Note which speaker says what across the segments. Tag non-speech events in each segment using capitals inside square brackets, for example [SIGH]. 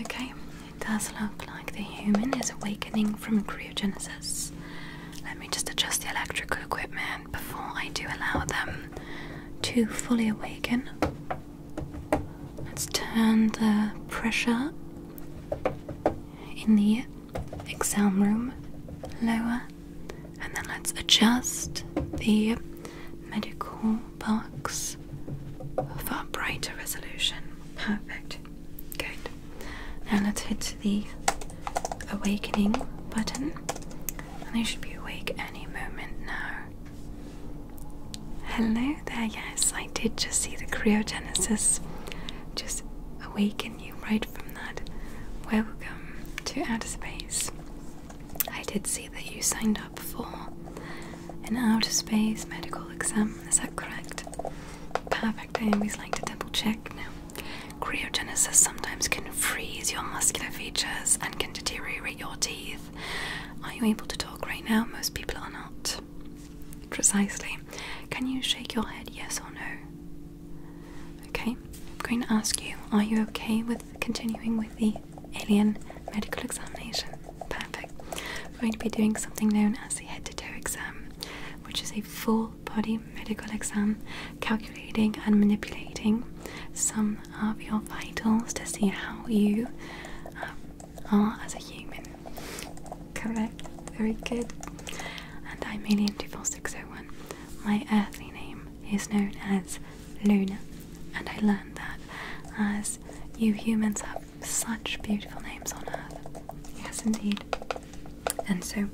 Speaker 1: Okay, it does look like the human is awakening from cryogenesis. Let me just adjust the electrical equipment before I do allow them to fully awaken. Let's turn the pressure in the exam room lower and then let's adjust the medical box for brighter resolution. Perfect. Good. Now let's hit the awakening button. And I should be awake any moment now. Hello there, yes, I did just see the cryogenesis just awaken you right from that. Welcome to outer space. I did see that you signed up for an outer space medical exam. Is that correct? Perfect. I always like to double check. Now, cryogenesis sometimes can freeze your muscular features and can deteriorate your teeth. Are you able to talk right now? Most people are not. Precisely. Can you shake your head, yes or no? Okay, I'm going to ask you, are you okay with continuing with the alien medical examination. Perfect. We're going to be doing something known as the head to toe exam, which is a full body medical exam calculating and manipulating some of your vitals to see how you uh, are as a human. Correct. Very good. And I'm Alien 24601. My earthly name is known as Luna. And I learned that as you humans have such beautiful names on earth. Yes, indeed. And so,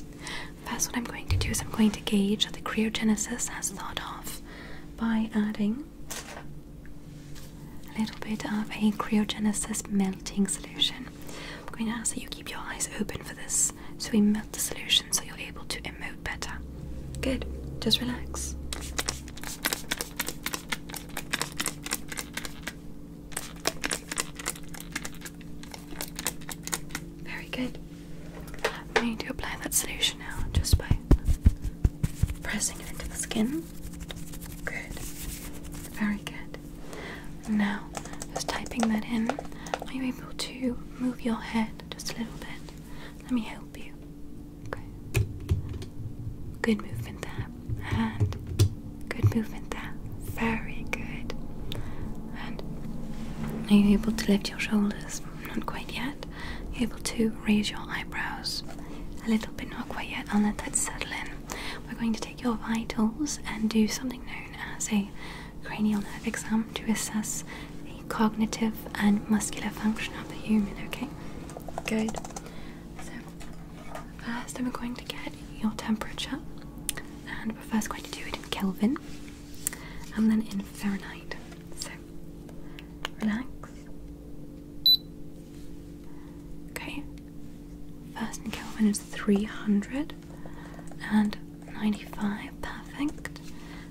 Speaker 1: that's what I'm going to do is I'm going to gauge the cryogenesis as thought off by adding a little bit of a cryogenesis melting solution. I'm going to ask that you keep your eyes open for this so we melt the solution so you're able to emote better. Good, just relax. Very good. I'm going to apply that solution now just by pressing it into the skin. Good. Very good. Now, just typing that in, are you able to move your head just a little bit? Let me help you. Good movement there. And good movement there. Very good. And are you able to lift your shoulders? Not quite yet. able to raise your eyebrows a little bit, not quite yet. I'll let that settle in. We're going to take your vitals and do something known as a cranial nerve exam to assess cognitive and muscular function of the human, okay? Good. So, 1st we we're going to get your temperature, and we're first going to do it in Kelvin and then in Fahrenheit. So, relax. Okay, first in Kelvin is three hundred and ninety-five. perfect.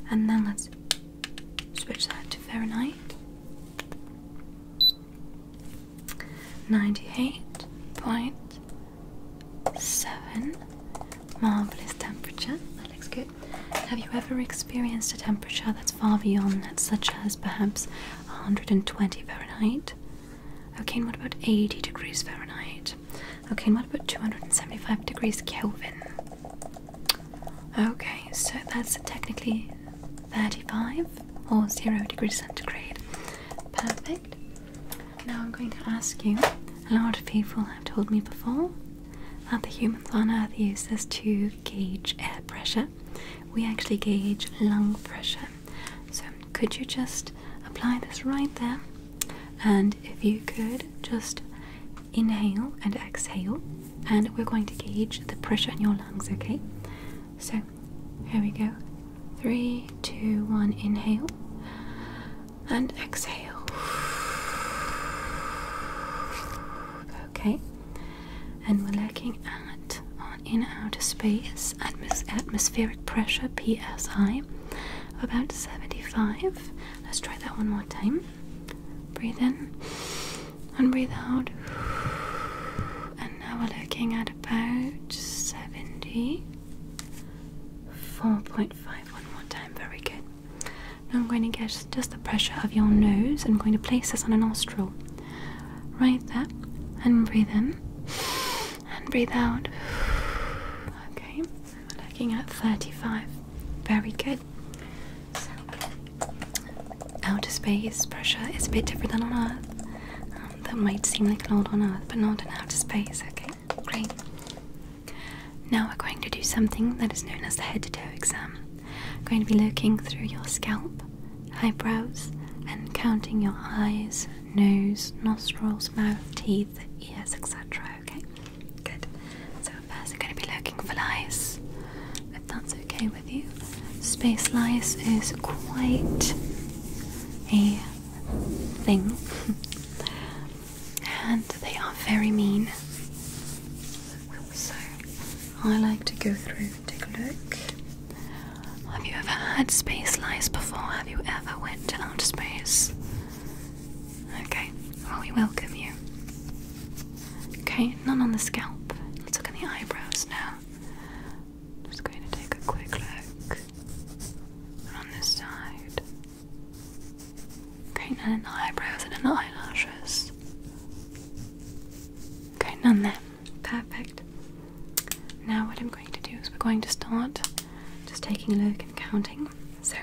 Speaker 1: And then let's Switch that to Fahrenheit. 98.7 Marvelous temperature. That looks good. Have you ever experienced a temperature that's far beyond that, such as perhaps 120 Fahrenheit? Okay, and what about 80 degrees Fahrenheit? Okay, and what about 275 degrees Kelvin? Okay, so that's technically 35 or 0 degrees centigrade. Perfect. Now I'm going to ask you a lot of people have told me before that the humans on Earth use this to gauge air pressure. We actually gauge lung pressure. So could you just apply this right there? And if you could just inhale and exhale, and we're going to gauge the pressure in your lungs, okay? So here we go. Three, two, one, inhale and exhale. Okay, and we're looking at on in outer space atmospheric pressure psi about 75. Let's try that one more time. Breathe in and breathe out. And now we're looking at about 70. 4.5 one more time, very good. Now I'm going to get just the pressure of your nose. I'm going to place this on a nostril. Right there. And breathe in. And breathe out. Okay. We're looking at 35. Very good outer space pressure is a bit different than on Earth. Um, that might seem like an odd on Earth, but not in outer space, okay? Great. Now we're going to do something that is known as the head to toe exam. I'm going to be looking through your scalp, eyebrows, and counting your eyes, nose, nostrils, mouth, teeth, ears, etc. Okay? Good. So first, we're going to be looking for lice. If that's okay with you, space lice is quite a thing, [LAUGHS] and they are very mean. So I like to go through and take a look. Have you ever had space lice before? Have you ever went out outer space? Okay, we welcome you. Okay, none on the scalp. Let's look at the eyebrows now. Just going to take a quick look on this side. Okay, none in the eyebrows and in the eyelashes. Okay, none there. Perfect. Now, what I'm going to do is we're going to start just taking a look and counting. So,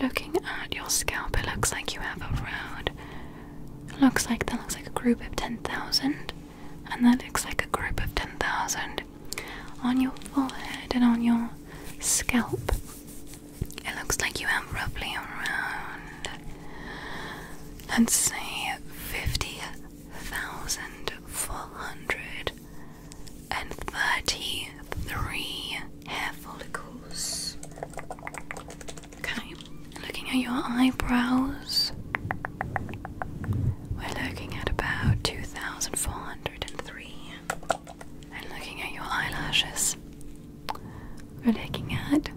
Speaker 1: Looking at your scalp, it looks like you have a around. Looks like that looks like a group of 10,000, and that looks like a group of 10,000 on your forehead and on your scalp. It looks like you have roughly around, let's say, 50,400 and 33 hair follicles. Okay, looking at your eyebrows, we're looking at about 2,403. And looking at your eyelashes, we're looking at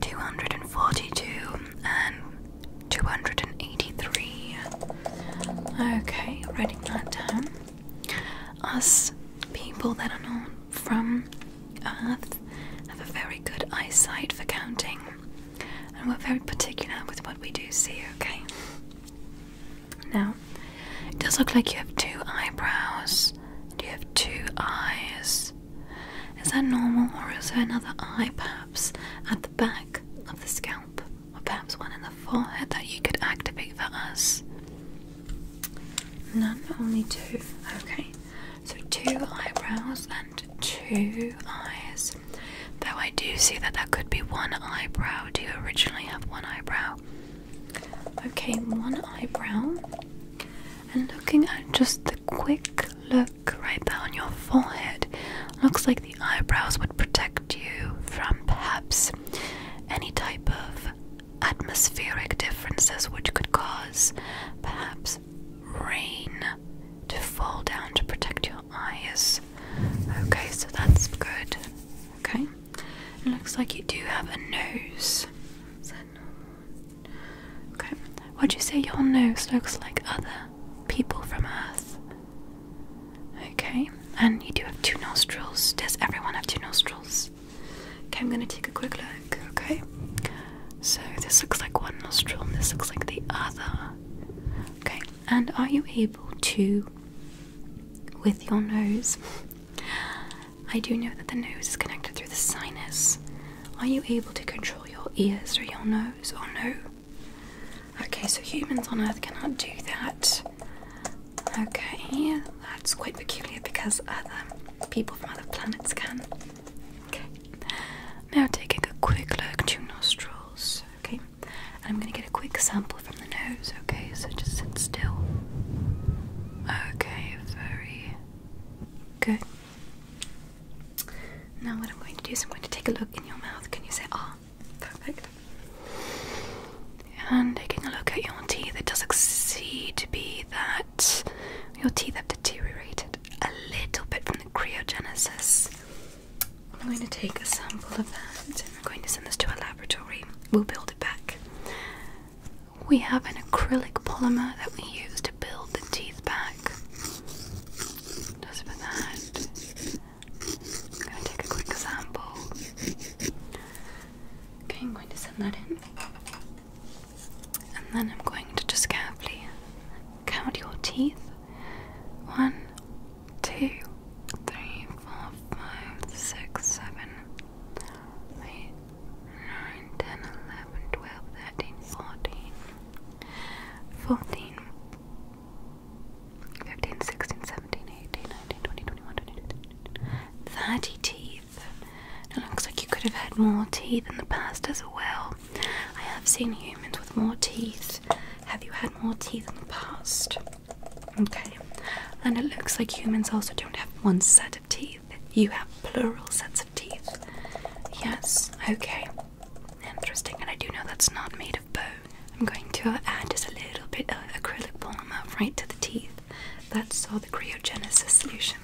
Speaker 1: 242 and 283. Okay, writing that down us people that are not from Earth have a very good eyesight for counting, and we're very particular with what we do see, okay? Now, it does look like you have two eyebrows, Do you have two eyes. Is that normal, or is there another eye perhaps at the back of the scalp? perhaps one in the forehead that you could activate for us? None, only two. Okay, so two eyebrows and two eyes. Though I do see that there could be one eyebrow. Do you originally have one eyebrow? Okay, one eyebrow. And looking at just the quick look right there on your forehead, looks like the eyebrows would protect you from perhaps any type of atmospheric differences which could cause perhaps rain to fall down to protect your eyes. Okay, so that's good. Okay, it looks like you do have a nose. Okay, what do you say your nose looks like other people from Earth? Okay, and you do have two nostrils. Does everyone have two nostrils? Okay, I'm gonna take a quick look, okay? So this looks like one nostril and this looks like the other. Okay, and are you able to, with your nose, I do know that the nose is connected through the sinus. Are you able to control your ears or your nose or no? Okay, so humans on Earth cannot do that. Okay, that's quite peculiar because other people from other planets can. Okay, now taking a quick look to nostrils. Okay, and I'm gonna get a quick sample from the nose. Okay, so just sit still. Okay, very good. Now, what I'm going to do is I'm going to take a look in your mouth. Can you say ah? And taking a look at your teeth, it does seem to be that your teeth have deteriorated a little bit from the cryogenesis. I'm going to take a sample of that and we're going to send this to a laboratory. We'll build it back. We have an acrylic polymer that we use to build the teeth back. Just for that. I'm going to take a quick sample. Okay, I'm going to send that in. And then I'm going to just carefully count your teeth. One, two, three, four, five, six, seven, eight, nine, ten, eleven, twelve, thirteen, fourteen, fourteen. 15, 30 teeth. It looks like you could have had more teeth in the past as well. I have seen humans with more teeth. Have you had more teeth in the past? Okay. And it looks like humans also don't have one set of teeth. You have plural sets of teeth. Yes, okay. Interesting, and I do know that's not made of bone. I'm going to add just a little bit of acrylic polymer right to the teeth. That's all the cryogenesis solution.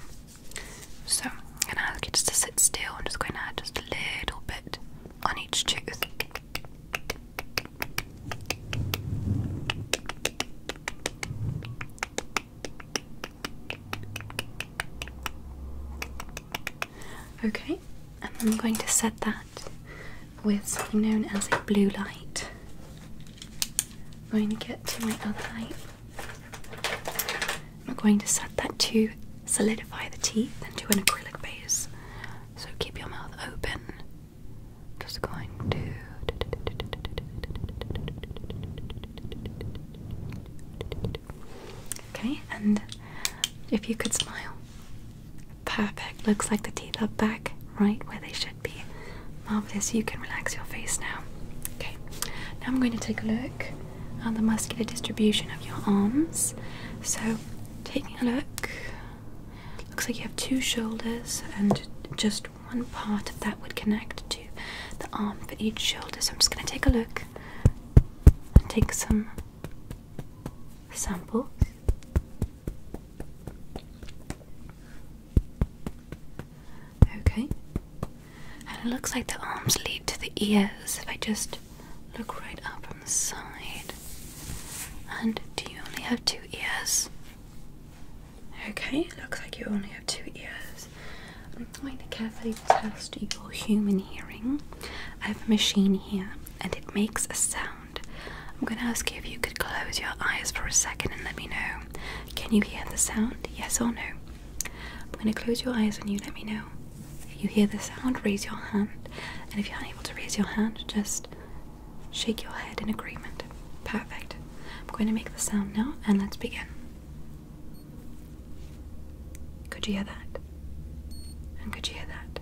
Speaker 1: So I'm gonna ask you just to sit still. I'm just going to add just a little bit on each tooth. Okay, and I'm going to set that with something known as a blue light. I'm going to get to my other light. I'm going to set that to solidify the teeth into an acrylic base. So keep your mouth open. Just going to. Okay, and if you could smile, Perfect. Looks like the teeth are back right where they should be. Marvelous. You can relax your face now. Okay. Now I'm going to take a look at the muscular distribution of your arms. So, take a look, looks like you have two shoulders and just one part of that would connect to the arm for each shoulder. So I'm just going to take a look and take some Sample. Okay, and it looks like the arms lead to the ears. If I just look right up from the side, and do you only have two ears? Okay, It looks like you only have two ears. I'm going to carefully test your human hearing. I have a machine here and it makes a sound. I'm going to ask you if you could close your eyes for a second and let me know. Can you hear the sound? Yes or no? I'm going to close your eyes and you let me know. If you hear the sound, raise your hand. And if you're unable to raise your hand, just shake your head in agreement. Perfect. I'm going to make the sound now and let's begin. Could you hear that? And could you hear that?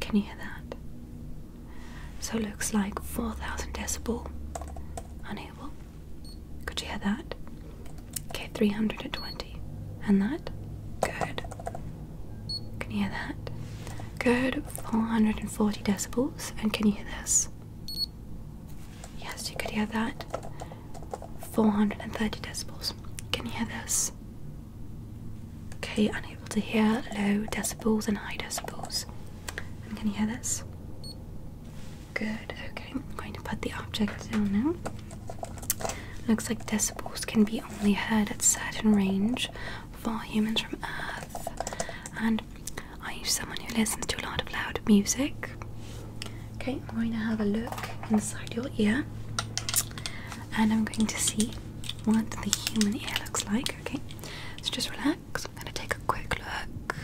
Speaker 1: Can you hear that? So it looks like 4000 decibel. Unable. Could you hear that? Okay, 320. And that? Good. Can you hear that? Good, 440 decibels. And can you hear this? Yes, you could hear that. 430 decibels. Can you hear this? Okay, unable to hear low decibels and high decibels. can you hear this? Good, okay. I'm going to put the object down now. Looks like decibels can be only heard at certain range for humans from Earth. And are you someone who listens to a lot of loud music? Okay, I'm going to have a look inside your ear and I'm going to see what the human ear looks like. Okay, so just relax. I'm going to take a quick look.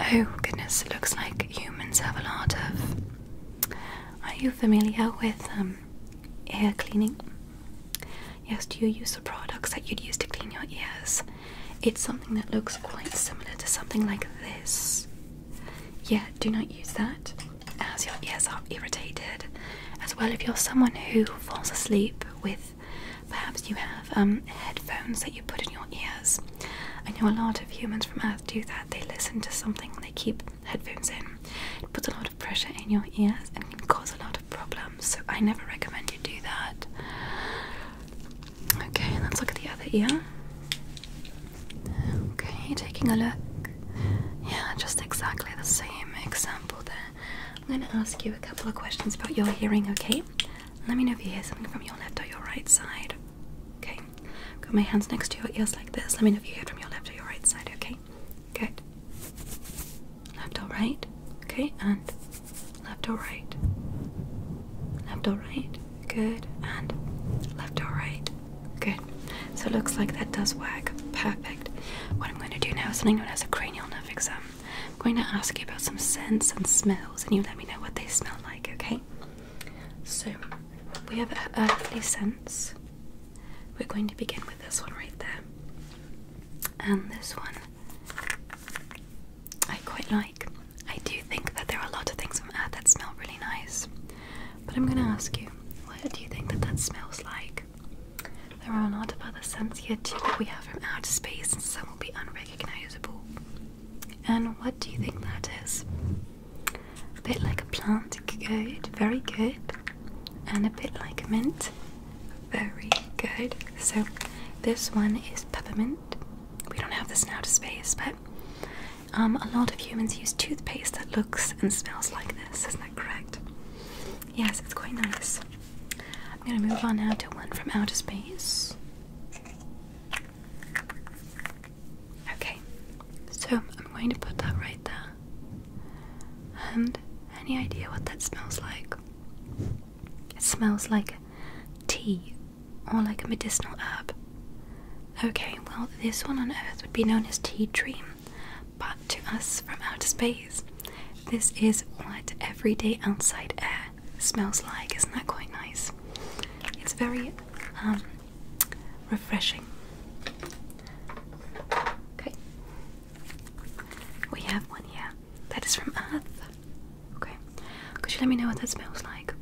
Speaker 1: Oh, goodness, it looks like humans have a lot of. Are you familiar with um, ear cleaning? Yes, do you use the products that you'd use to clean your ears? It's something that looks quite similar to something like this. Yeah, do not use that as your ears are irritated. As well, if you're someone who falls asleep with perhaps you have um, headphones that you put in your ears. I know a lot of humans from Earth do that. They listen to something they keep headphones in. It puts a lot of pressure in your ears and can cause a lot of problems, so I never recommend you do that. Okay, let's look at the other ear. Okay, taking a look. Yeah, just exactly the same example there. I'm going to ask you a couple of questions about your hearing, okay? Let me know if you hear something from your left or your right side. Okay, got my hands next to your ears like this. Let me know if you hear from your left or your right side, okay? Good. Left or right? Okay, and left or right? Left or right? Good. And left or Good. So it looks like that does work. Perfect. What I'm going to do now is something known as a cranial nerve exam. I'm going to ask you about some scents and smells, and you let me know what they smell like, okay? So we have earthly scents. We're going to begin with this one right there. And this one I quite like. I do think that there are a lot of things from Earth that smell really nice, but I'm gonna ask you, what do you think that that smells like? There are a lot of other scents here too that we have from outer space, and some will be unrecognizable. And what do you think that is? A bit like a plant, good, very good, and a bit like mint, very good. So, this one is peppermint we don't have this now to space, but um, a lot of humans use toothpaste that looks and smells like this. Isn't that correct? Yes, it's quite nice. I'm going to move on now to one from outer space. Okay, so I'm going to put that right there. And any idea what that smells like? It smells like tea or like a medicinal herb. Okay, well, this one on Earth would be known as tea dream, but to us from outer space, this is what everyday outside air smells like. Isn't that quite nice? It's very um, refreshing. Okay, we have one here that is from Earth. Okay. Could you let me know what that smells like?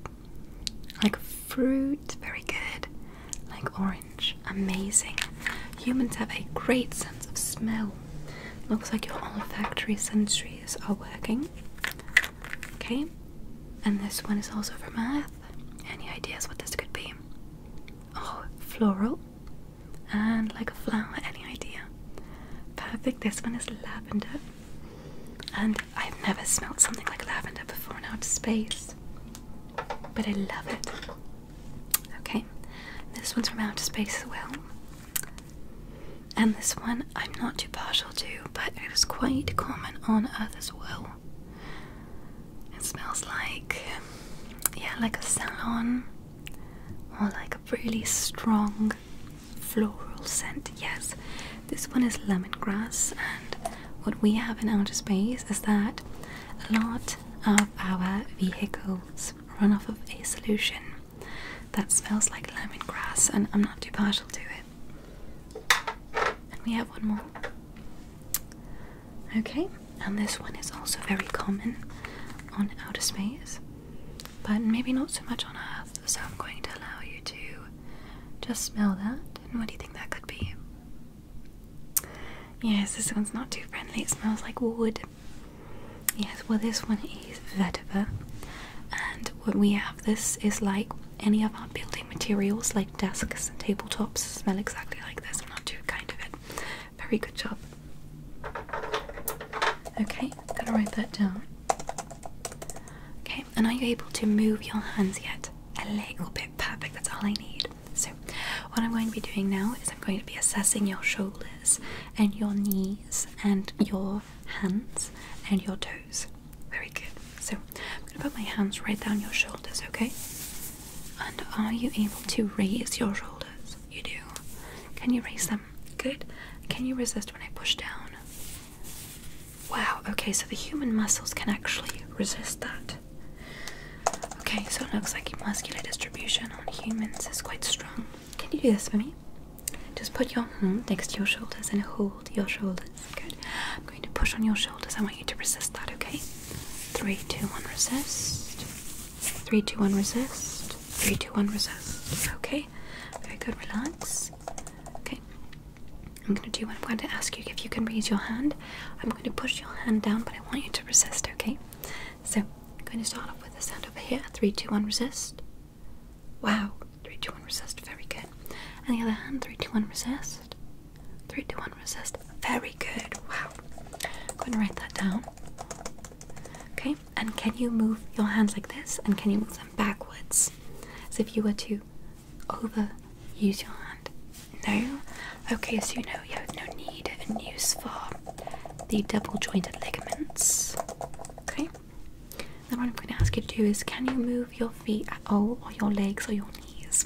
Speaker 1: Like fruit, very good. Like orange, amazing. Humans have a great sense of smell. Looks like your olfactory sensories are working. Okay. And this one is also from Earth. Any ideas what this could be? Oh, floral and like a flower. Any idea? Perfect. This one is lavender. And I've never smelled something like lavender before in outer space. But I love it. Okay, this one's from outer space as well. And this one I'm not too partial to, but it is quite common on Earth as well. It smells like, yeah, like a salon or like a really strong floral scent. Yes, this one is lemongrass, and what we have in outer space is that a lot of our vehicles run off of a solution that smells like lemongrass, and I'm not too partial to it. And we have one more. Okay, and this one is also very common on outer space but maybe not so much on earth. So I'm going to allow you to just smell that. And what do you think that could be? Yes, this one's not too friendly. It smells like wood. Yes, well, this one is vetiver. And what we have, this is like any of our building materials, like desks and tabletops, smell exactly like this. I'm not too kind of it. Very good job. Okay, gotta write that down. Okay, and are you able to move your hands yet? A little bit perfect, that's all I need. So, what I'm going to be doing now is I'm going to be assessing your shoulders and your knees and your hands and your toes. Very good. So, I'm going to put my hands right down your shoulders, okay? And are you able to raise your shoulders? You do. Can you raise them? good. Can you resist when I push down? Wow, okay, so the human muscles can actually resist that. Okay, so it looks like muscular distribution on humans is quite strong. Can you do this for me? Just put your hand hmm, next to your shoulders and hold your shoulders. Good. I'm going to push on your shoulders. I want you to resist that, okay? Three, two, one, resist. Three, two, one, resist. Three, two, one, resist. Okay very good. Relax. Okay, I'm going to do what I'm going to ask you if you can raise your hand. I'm going to push your hand down, but I want you to resist. Okay, so I'm going to start off with this sound over here. Three, two, one, resist. Wow, three, two, one, resist. Very good. On the other hand, three, two, one, resist. Three, two, one, resist. Very good. Wow. I'm going to write that down. Okay, and can you move your hands like this? And can you move them backwards? As if you were to overuse your hand. No? Okay, so you know you have no need and use for the double jointed ligaments. Okay? Then what I'm going to ask you to do is can you move your feet at all, or your legs, or your knees?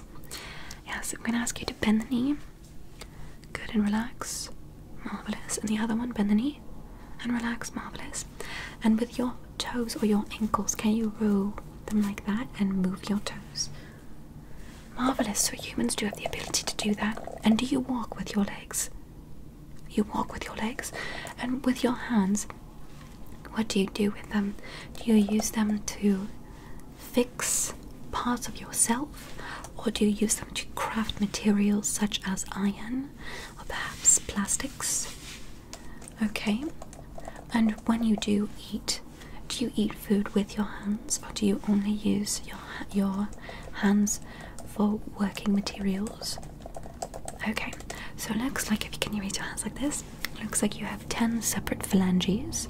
Speaker 1: Yes, I'm going to ask you to bend the knee. Good and relax marvelous, and the other one bend the knee and relax, marvelous. And with your toes or your ankles, can you roll them like that and move your toes? Marvelous. So humans do have the ability to do that. And do you walk with your legs? You walk with your legs, and with your hands. What do you do with them? Do you use them to fix parts of yourself, or do you use them to craft materials such as iron or perhaps plastics. Okay, and when you do eat, do you eat food with your hands or do you only use your, your hands for working materials? Okay, so it looks like if you can you raise your hands like this, looks like you have 10 separate phalanges,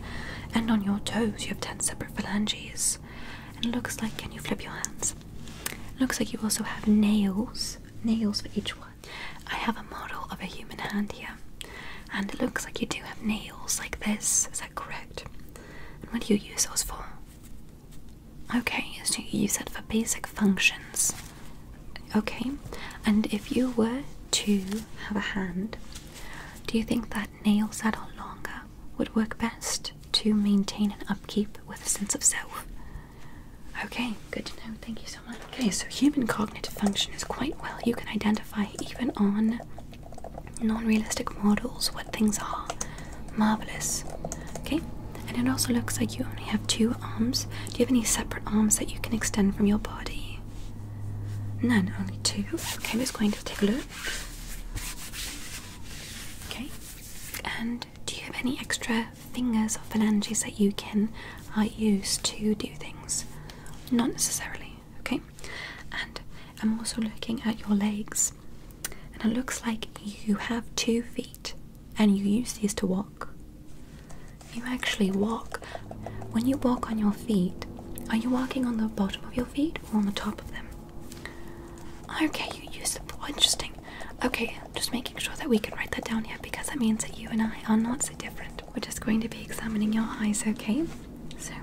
Speaker 1: and on your toes you have 10 separate phalanges. And it looks like, can you flip your hands? Looks like you also have nails, nails for each one. I have a model of a human hand here, and it looks like you do have nails like this. Is that correct? And what do you use those for? Okay, so you use it for basic functions. Okay, and if you were to have a hand, do you think that nails that are longer would work best to maintain and upkeep with a sense of self. Okay, good to know. Thank you so much. Okay, so human cognitive function is quite well. You can identify even on non realistic models what things are. Marvelous. Okay, and it also looks like you only have two arms. Do you have any separate arms that you can extend from your body? None, only two. Okay, I'm just going to take a look. Okay, and do you have any extra fingers or phalanges that you can uh, use to do things? Not necessarily, okay? And I'm also looking at your legs, and it looks like you have two feet and you use these to walk. You actually walk. When you walk on your feet, are you walking on the bottom of your feet or on the top of them? Okay, you use it. Well, interesting. Okay, just making sure that we can write that down here because that means that you and I are not so different. We're just going to be examining your eyes, okay? So,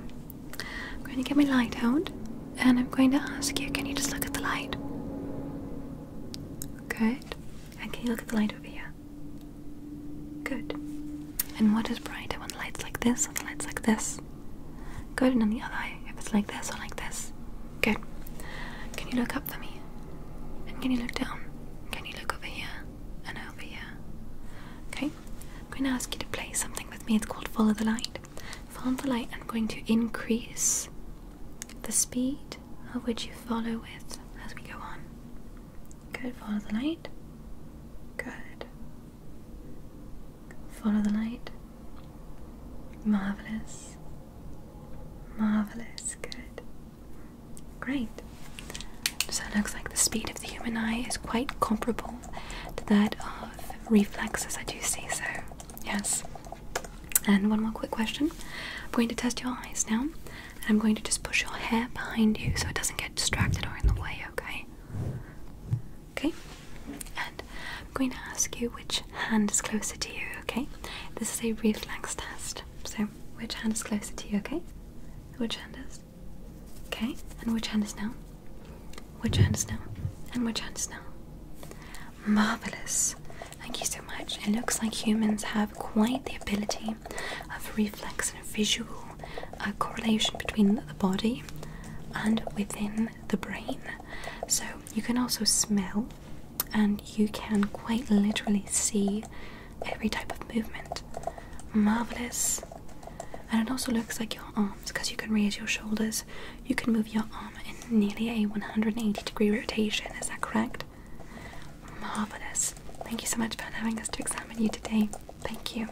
Speaker 1: I'm going to get my light out and I'm going to ask you can you just look at the light? Good. And can you look at the light over here? Good. And what is brighter when the light's like this or the light's like this? Good, and then the other eye, if it's like this or like this. Good. Can you look up for me? And can you look down? Can you look over here and over here? Okay, I'm going to ask you to play something with me. It's called Follow the Light. Follow the light, I'm going to increase the speed of which you follow with as we go on. Good, follow the light. Good. Follow the light. Marvelous. Marvelous. Good. Great. So it looks like the speed of the human eye is quite comparable to that of reflexes I do see. So, yes. And one more quick question. I'm going to test your eyes now, and I'm going to just push your hair behind you so it doesn't get distracted or in the way, okay? Okay, and I'm going to ask you which hand is closer to you, okay? This is a reflex test. So, which hand is closer to you, okay? Which hand is? Okay, and which hand is now? Which hand is now? And which hand is now? Marvellous! Thank you so much. It looks like humans have quite the ability of reflex and visual uh, correlation between the body and within the brain. So you can also smell, and you can quite literally see every type of movement. Marvelous! And it also looks like your arms because you can raise your shoulders. You can move your arm in nearly a 180 degree rotation, is that correct? Marvelous! Thank you so much for having us to examine you today. Thank you.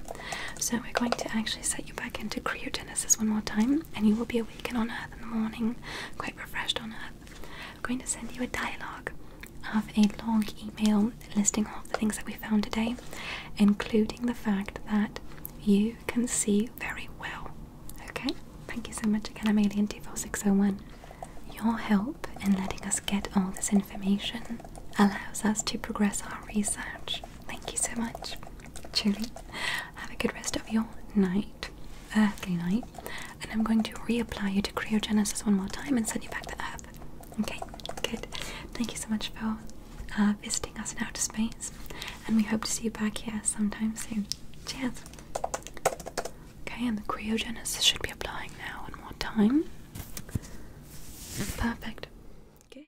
Speaker 1: So, we're going to actually set you back into cryo this is one more time, and you will be awakened on earth in the morning, quite refreshed on earth. I'm going to send you a dialogue of a long email listing all the things that we found today, including the fact that you can see very well. Okay? Thank you so much again, I'm Alien24601. Your help in letting us get all this information allows us to progress our research. Thank you so much. Truly, have a good rest of your night, earthly night, and I'm going to reapply you to cryogenesis one more time and send you back to Earth. Okay, good. Thank you so much for uh, visiting us in outer space, and we hope to see you back here sometime soon. Cheers. Okay, and the cryogenesis should be applying now one more time. Perfect. Okay.